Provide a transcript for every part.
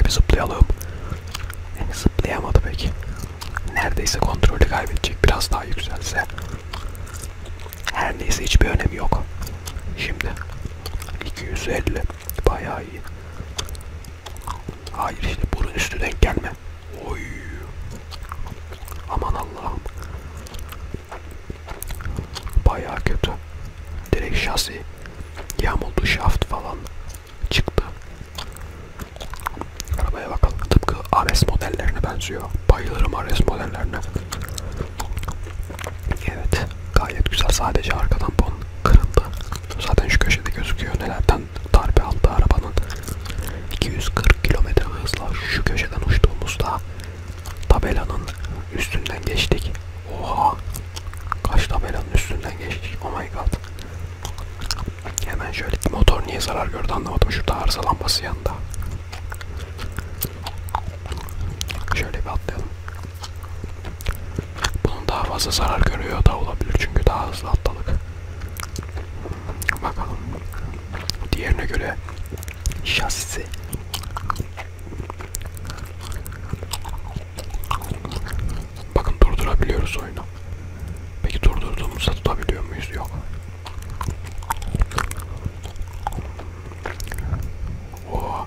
Bir zıplayalım. Yani eh, zıplayamadı peki. Neredeyse kontrolü kaybedecek biraz daha yükselse. Her neyse hiçbir önemi yok. Şimdi 250 bayağı iyi. Hayır işte burun üstü denk gelme. Oy. Aman Allah'ım. Bayağı kötü. Direkt şasi yamuldu, şaft falan çıktı. Arabaya bakalım. Tıpkı Ares modellerine benziyor. Bayılırım Ares modellerine. Evet. Gayet güzel. Sadece arka tampon kırıldı. Zaten şu köşede gözüküyor. Nelerden darbe aldı arabanın. 240 km hızla şu köşeden uçtuğumuzda Tabelanın üstünden geçtik. Oha! Kaç tabelanın üstünden geçtik. Oh my god. Hemen şöyle motor niye zarar gördü anlamadım. Şurada arıza lambası yanında. Şöyle bir atlayalım. Bunun daha fazla zarar görüyor da olabilir çünkü daha hızlı atladık. Bakalım. Diğerine göre şasisi bakın durdurabiliyoruz oyunu peki durdurduğumuzda tutabiliyor muyuz yok Oo.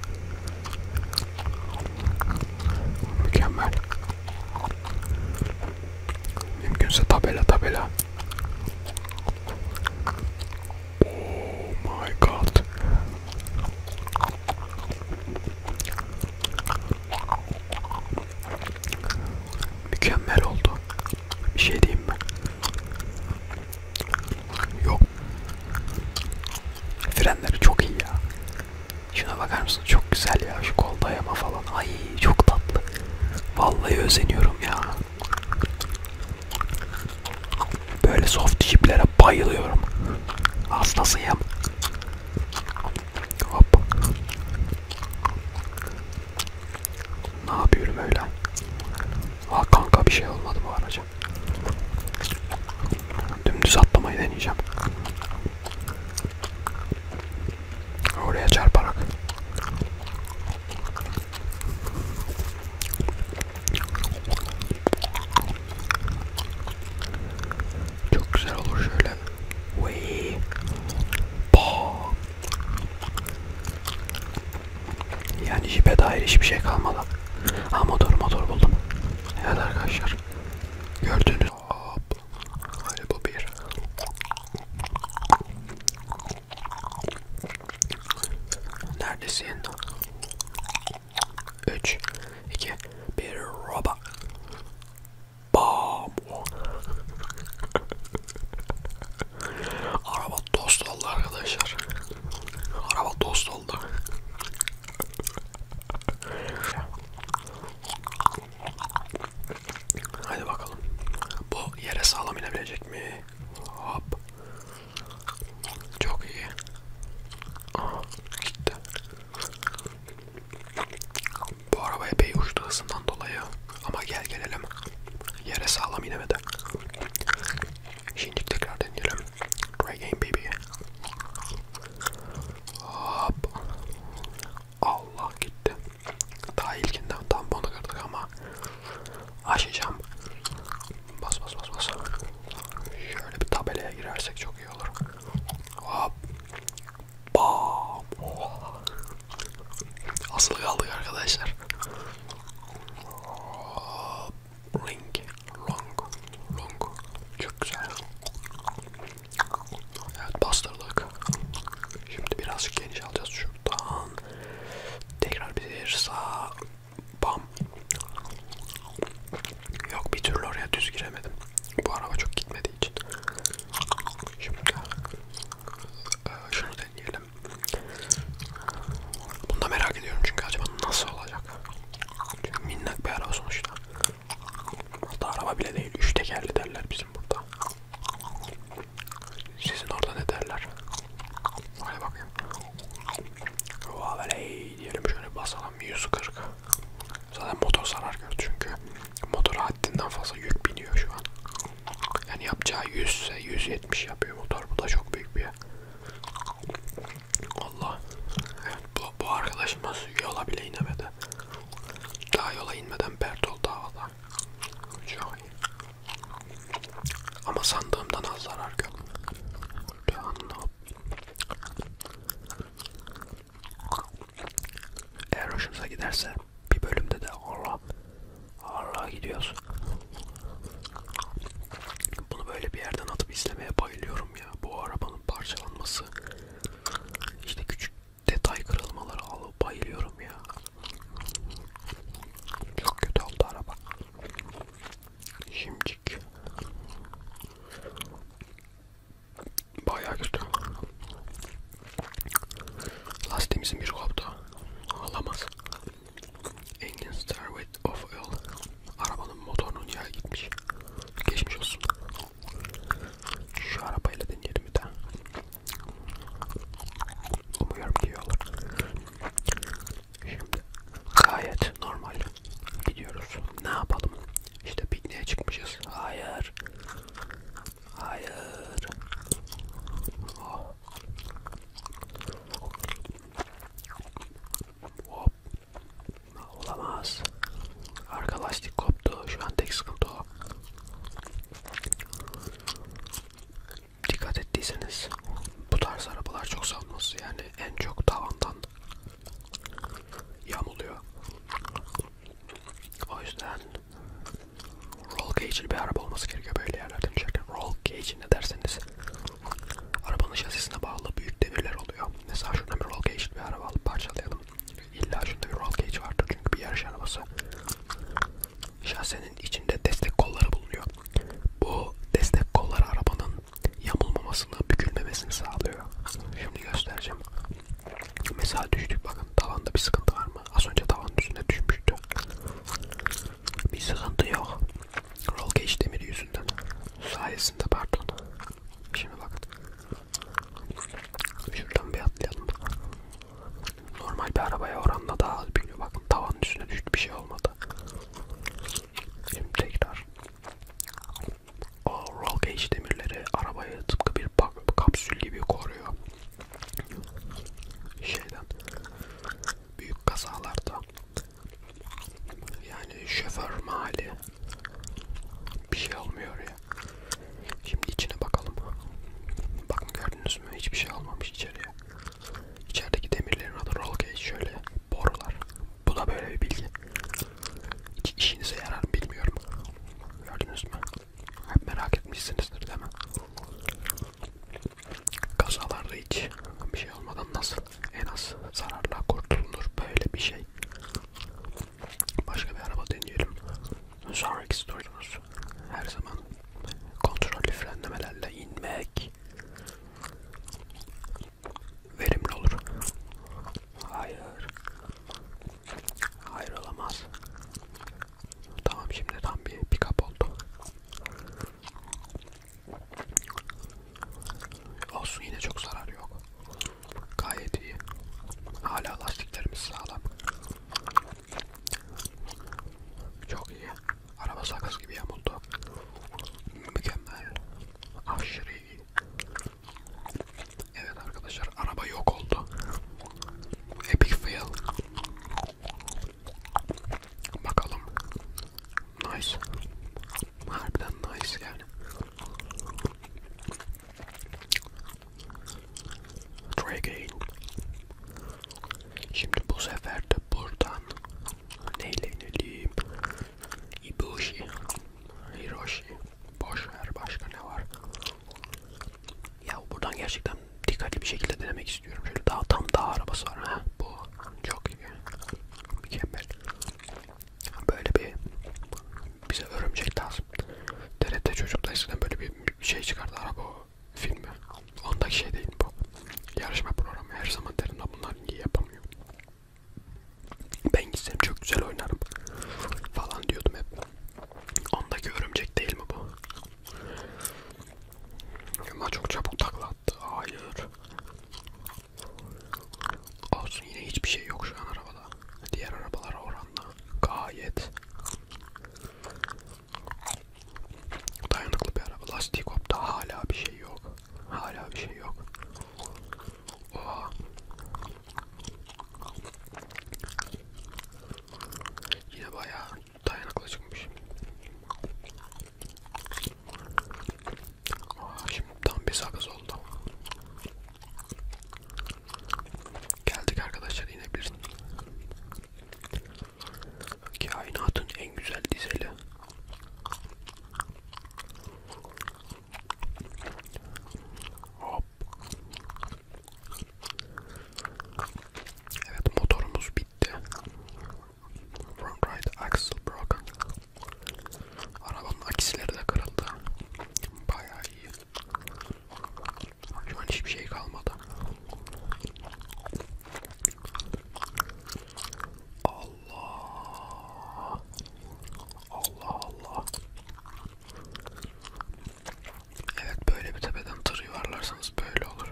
mükemmel mümkünse tabela tabela Oh my god. Mükemmel oldu. Bir şey diyeyim mi? Yok. Frenleri çok iyi ya. Şuna bakar mısın? Çok güzel ya şu kol dayama falan. Ay çok tatlı. Vallahi özeniyorum ya. Böyle soft chiplere bayılıyorum. Hastasıyım. Hop. Ne yapıyorum öyle? Aa kanka bir şey olmadı bu araca. Dümdüz atlamayı deneyeceğim. Oraya çarparak. Çok güzel olur şöyle. Wey. Yani jipe dair hiçbir şey kalmadı. Ha motor motor buldum. Evet arkadaşlar. Gördüğünüz Hop. Hadi bu bir. Neredesin? 3 2 1 roba. Bam. Araba dost oldu arkadaşlar. Araba dost oldu. Hadi bakalım. Bu yere sağlam inebilecek mi? Hop. Çok iyi. Aha gitti. Bu araba epey uçtu hızından dolayı. Ama gel gelelim. Yere sağlam inemedi. Şimdi tekrar deneyelim. Try game baby. Hop. Allah gitti. Daha ilkinden tamponu kırdık ama aşacağım. Bas bas bas bas. Şöyle bir tabelaya girersek çok iyi olur. Hop. Bam. Oh. Asıl kaldık arkadaşlar. Hop. Ring. Long. Long. Çok güzel. Evet bastırdık. Şimdi birazcık geniş alacağız şuradan. Tekrar bir sağ. Bam. Yok bir türlü oraya düz giremedim. Bu araba çok gitmediği için. Şimdi e, şunu deneyelim. Bunu da merak ediyorum çünkü acaba nasıl olacak? Çünkü minnak bir araba sonuçta. Hatta araba bile değil. Üç tekerli derler bizim burada. Sizin orada ne derler? Hadi bakayım. Vaveley diyelim şöyle basalım 140. Zaten motor zarar gördü çünkü. Motora haddinden fazla yük biniyor şu an. Yani yapacağı 100 ise 170 yapıyor motor. Bu da çok büyük bir Allah. Evet, bu, bu arkadaşımız yola bile inemedi. Daha yola inmeden pert oldu havada. Çok iyi. Ama sandığımdan az zarar gördüm. Eğer hoşunuza giderse bir bölümde de Allah Allah gidiyoruz. Bunu böyle bir yerden atıp izlemeye bayılıyorum ya. Bu arabanın parçalanması. İşte küçük detay kırılmaları alıp bayılıyorum ya. Çok kötü oldu araba. Şimcik. Bayağı kötü. Lastiğimizin bir koptu. Alamaz. Engine star with of oil. Arabanın motorunun yağı gitmiş. Geçmiş olsun. Şu arabayla deneyelim bir daha. Umuyorum ki iyi olur. Şimdi gayet normal gidiyoruz. Ne yapalım? İşte pikniğe çıkmışız. Hayır. Hayır. Oh. Hop. Olamaz. Arka lastik koptu. Şu an tek sıkıntı o. Dikkat ettiyseniz bu tarz arabalar çok salması yani en çok tavandan yamuluyor. O yüzden roll cage'li bir araba olması gerekiyor böyle yerlerden içerken. Roll cage ne derseniz arabanın şasisine bağlı büyük demirler oluyor. Mesela şuradan bir roll cage'li bir araba alıp parçalayalım. İlla şurada bir roll cage vardır çünkü bir yarış arabası. Şahsenin içinde destek kolları bulunuyor. Bu destek kolları arabanın yamulmamasını, bükülmemesini sağlıyor. Şimdi göstereceğim. Mesela düştük bakın tavanda bir sıkıntı var mı? Az önce tavanın üstüne düşmüştü. Bir sıkıntı yok. Roll cage demiri yüzünden. Sayesinde pardon. Şimdi bakın. Şuradan bir atlayalım. Normal bir arabaya oranla daha az biniyor. Bakın tavanın üstüne düştü bir şey olmadı. Şimdi tekrar. O roll cage demirleri arabayı tıpkı bir kapsül gibi koruyor. Şeyden. Büyük kazalarda. Yani şoför mali bir şey olmuyor ya. Şimdi içine bakalım. Bakın gördünüz mü? Hiçbir şey almamış içeriye. İçerideki demirlerin adı roll cage şöyle borular. Bu da böyle bir bilgi. Hiç işinize yarar mı bilmiyorum. Gördünüz mü? Hep merak etmişsinizdir değil mi? Kazalarda hiç bir şey olmadan nasıl en az zararla kurtulunur böyle bir şey. Başka bir araba deneyelim. Sonraki story'imiz her zaman kontrollü frenlemelerle inmek verimli olur. Hayır. Hayır olamaz. Tamam şimdi tam bir pick-up oldu. Olsun yine çok zarar yok. Gayet iyi. Hala lastiklerimiz sağlam. Çok iyi. Araba sakız gibi yamuldu. Mükemmel. Aşırı iyi. Evet arkadaşlar araba yok oldu. Epic fail. Bakalım. Nice. Harbiden nice yani. Dragon. Şimdi bu sefer de buradan neyle inelim? Ibushi, Hiroshi, boş ver başka ne var? Ya buradan gerçekten dikkatli bir şekilde denemek istiyorum. Şöyle daha tam dağ arabası var ha bu çok iyi, mükemmel böyle bir bize örümcek lazım. TRT çocukta eskiden böyle bir şey çıkardı araba filmi. Ondaki şey değil bu. Yarışma programı her zaman derim da bunlar niye yapamıyor. Ben gitsem çok güzel oynarım falan diyordum hep. Ondaki örümcek değil mi bu? Ama çok çabuk takla attı. Hayır. Olsun yine hiçbir şey yok şu an arabada. Diğer arabalara oranla gayet dayanıklı bir araba. Lastik hopta hala bir şey yok. Hala bir şey yok. Oha. Yine bayağı dayanıklı çıkmış. Aa, şimdi tam bir sakız oldu. Geldik arkadaşlar inebilirsin. Kainatın en güzel dizeli. Hop. Evet motorumuz bitti. Front right axle broken. Arabanın aksileri de kırıldı. Bayağı iyi. Şu an hiçbir şey kalmadı. Allah. Allah Allah. Evet böyle bir tepeden tır yuvarlarsanız böyle olur.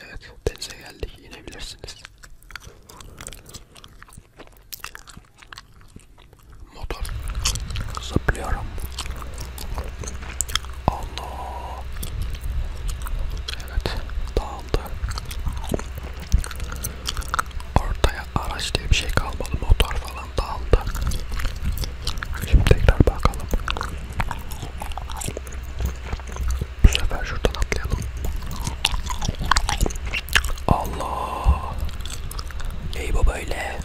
Evet denize geldik inebilirsiniz. Motor zıplıyorum. Allah. Evet dağıldı. Ortaya araç diye bir şey kalmadı. Motor falan dağıldı. Şimdi tekrar bakalım. Bu sefer şuradan atlayalım. Allah. Ey baba öyle.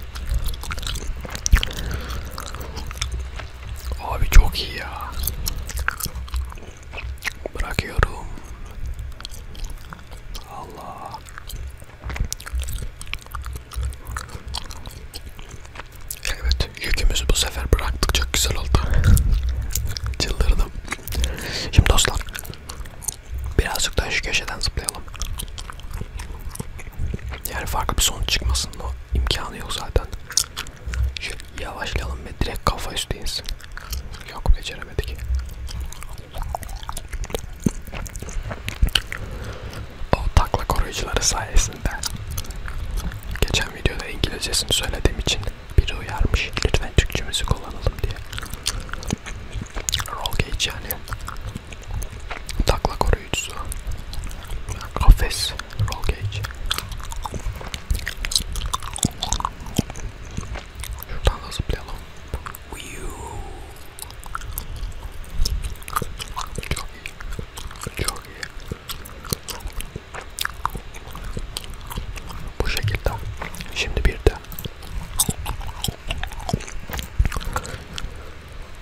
Abi çok iyi ya. Bırakıyorum. Allah. Evet, yükümüzü bu sefer bıraktık. Çok güzel oldu. Çıldırdım. Şimdi dostlar birazcık daha şu köşeden zıplayalım. Yani farklı bir sonuç çıkmasın o imkanı yok zaten. Şöyle yavaşlayalım ve direkt kafa üstü insin. Yok beceremedik. O takla koruyucuları sayesinde geçen videoda İngilizcesini söylediğim için biri uyarmış lütfen Türkçe müzik kullanalım diye. Roll Cage yani. Takla koruyucusu. Kafes. Roll Cage. Şuradan da zıplayalım. Çok iyi. Çok iyi. Bu şekilde. Şimdi bir de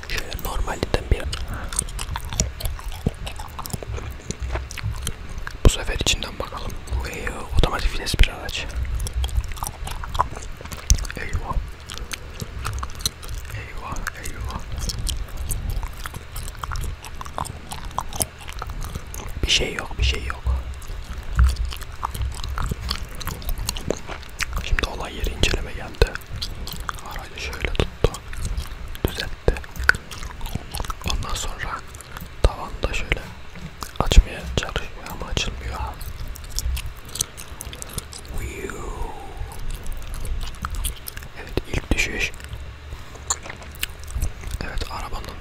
şöyle normalden bir bu sefer içinden bakalım. Bu iyi, otomatik vites bir araç. Eyvah. Eyvah, eyvah. Bir şey yok, bir şey yok. Şimdi olay yeri inceleme geldi. Aracı şöyle tuttu. Düzeltti. Ondan sonra tavanda şöyle açmaya çalışıyor ama açılmıyor. Evet ilk düşüş Evet arabanın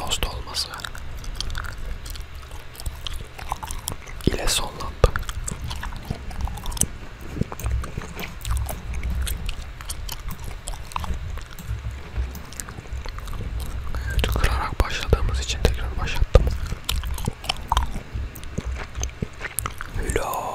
dost olması ile sonlandı. Evet, kırarak başladığımız için tekrar başlattım. Hülo.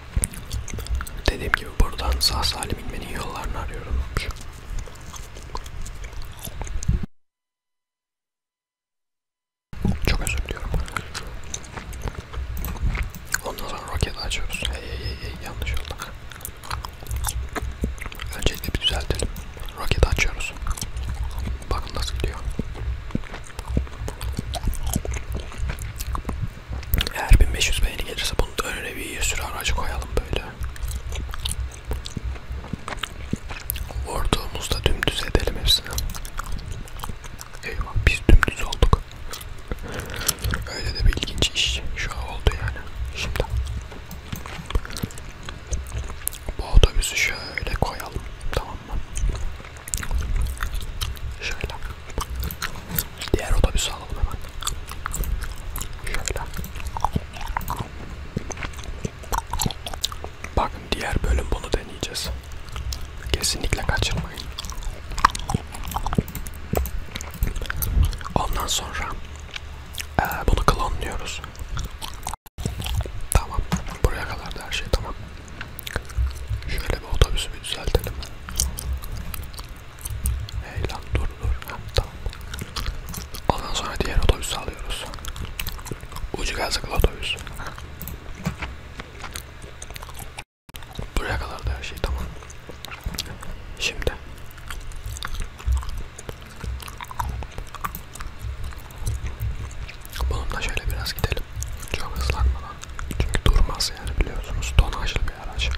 Dediğim gibi buradan sağ salim inmenin yollarını arıyorum. Çok özür diliyorum. Ondan sonra roketi açıyoruz. Hey hey hey, hey yanlış oldu. Öncelikle bir düzeltelim. Roket açıyoruz. Bakın nasıl gidiyor. Eğer 1500 beğeni gelirse bunun önüne bir sürü aracı koyalım böyle. Vurduğumuzda dümdüz edelim hepsini. Eyvah biz dümdüz olduk. Öyle de bir ilginç iş şu an oldu yani. Şimdi bu otobüsü şöyle koyalım. Tamam tamam mı? Şöyle. Diğer otobüsü alalım hemen. Şöyle. Bakın diğer bölüm bunu deneyeceğiz. Kesinlikle kaçırmayın. Ondan sonra e, bunu klonluyoruz. Tamam. Buraya kadar da her şey tamam. Şöyle bir otobüsü bir düzeltelim. Hey lan dur dur. Ha, tamam. Ondan sonra diğer otobüsü alıyoruz. Ucu gazlıklı otobüs. Buraya kadar da her şey tamam. Şimdi Bununla şöyle biraz gidelim. Çok hızlanmadan. Çünkü durmaz yani biliyorsunuz. Tonajlı bir araç.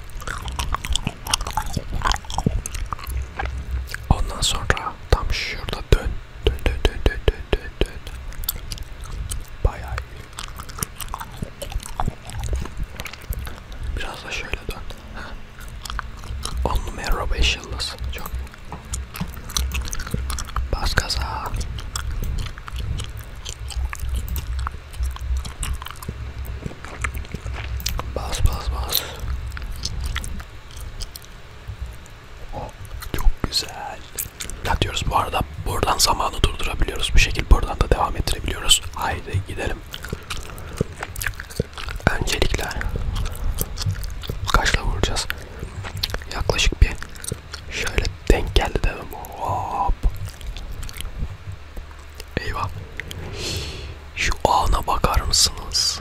Ondan sonra tam şurada dön. Dön dön dön dön dön dön dön. Bayağı iyi. Biraz da şöyle dön. On numara 5 yıldız. Çok iyi. Bas gaza. Bas bas bas. Oh, çok güzel. Ne diyoruz bu arada? Buradan zamanı durdurabiliyoruz. Bu şekilde buradan da devam ettirebiliyoruz. Haydi gidelim. Öncelikle kaçla vuracağız? Yaklaşık bir Şöyle denk geldi dedim. Hop. Eyvah. Şu ana bakar mısınız?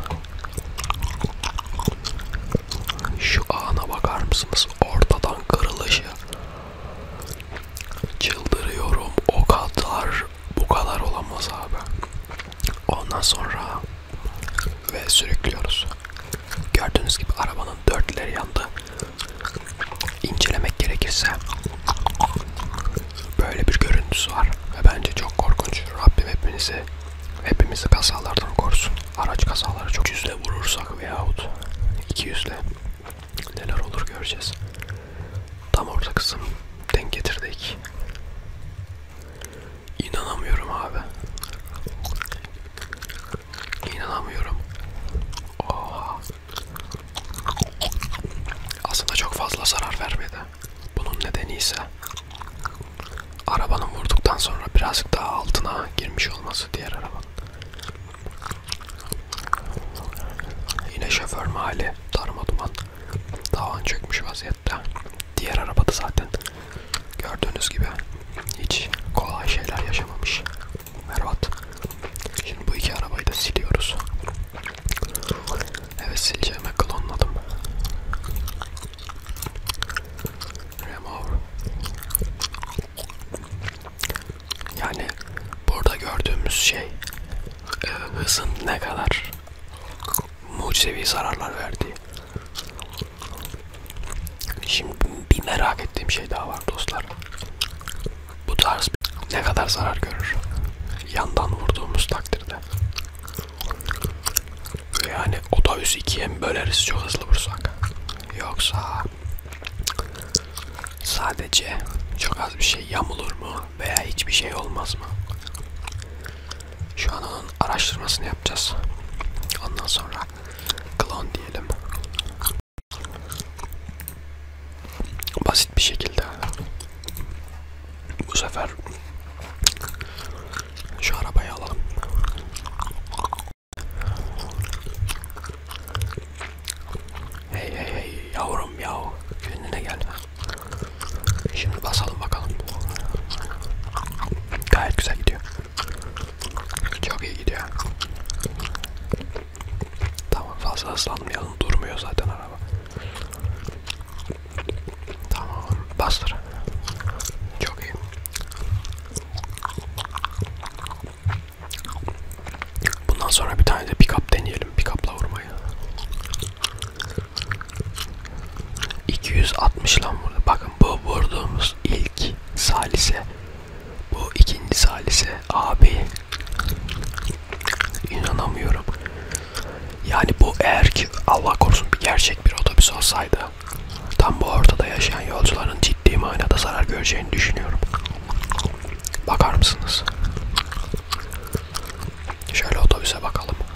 Şu ana bakar mısınız? Ortadan kırılışı. Çıldırıyorum. O kadar bu kadar olamaz abi. Ondan sonra ve sürüklüyoruz. Gördüğünüz gibi arabanın dörtleri yandı. İncelemek gerekirse böyle bir görüntüsü var ve bence çok korkunç. Rabbim hepinizi hepimizi kazalardan korusun. Araç kazaları çok yüzle vurursak veyahut iki yüzle neler olur göreceğiz. Tam orta kısım denk getirdik. İnanamıyorum abi. İnanamıyorum. Oha. Aslında çok fazla zarar vermedi. Bunun nedeni ise arabanın vurduktan sonra birazcık daha altına girmiş olması diğer arabanın. Yine şoför mahalli darma duman. Davan çökmüş vaziyette. Diğer arabada zaten gördüğünüz gibi hiç kolay şeyler yaşamamış Mervat. Şimdi bu iki arabayı da siliyoruz. Evet sileceğime klonladım. Remove. Yani burada gördüğümüz şey e, hızın ne kadar mucizevi zararlar verdiği. Şimdi bir merak ettiğim şey daha var dostlar. Bu tarz ne kadar zarar görür? Yandan vurduğumuz takdirde. Yani otobüs ikiye mi böleriz çok hızlı vursak? Yoksa sadece çok az bir şey yamulur mu veya hiçbir şey olmaz mı? Şu an onun araştırmasını yapacağız. Ondan sonra klon diyelim. Basit bir şekilde. Bu sefer şu arabayı alalım. Hey hey hey yavrum yav. Kendine gel. Şimdi basalım bakalım. Gayet güzel gidiyor. Çok iyi gidiyor. Tamam fazla hızlanmayalım. Durmuyor zaten araba. Tamam bastır. Çok iyi. Bundan sonra bir tane de pick up deneyelim. Pick up'la vurmayı. 260 lan burada. Bakın bu vurduğumuz ilk salise. Bu ikinci salise. Abi inanamıyorum. Yani bu eğer ki Allah korusun bir gerçek bir otobüs olsaydı tam bu ortada yaşayan yolcuların ciddi manada zarar göreceğini düşünüyorum. Bakar mısınız? Şöyle otobüse bakalım.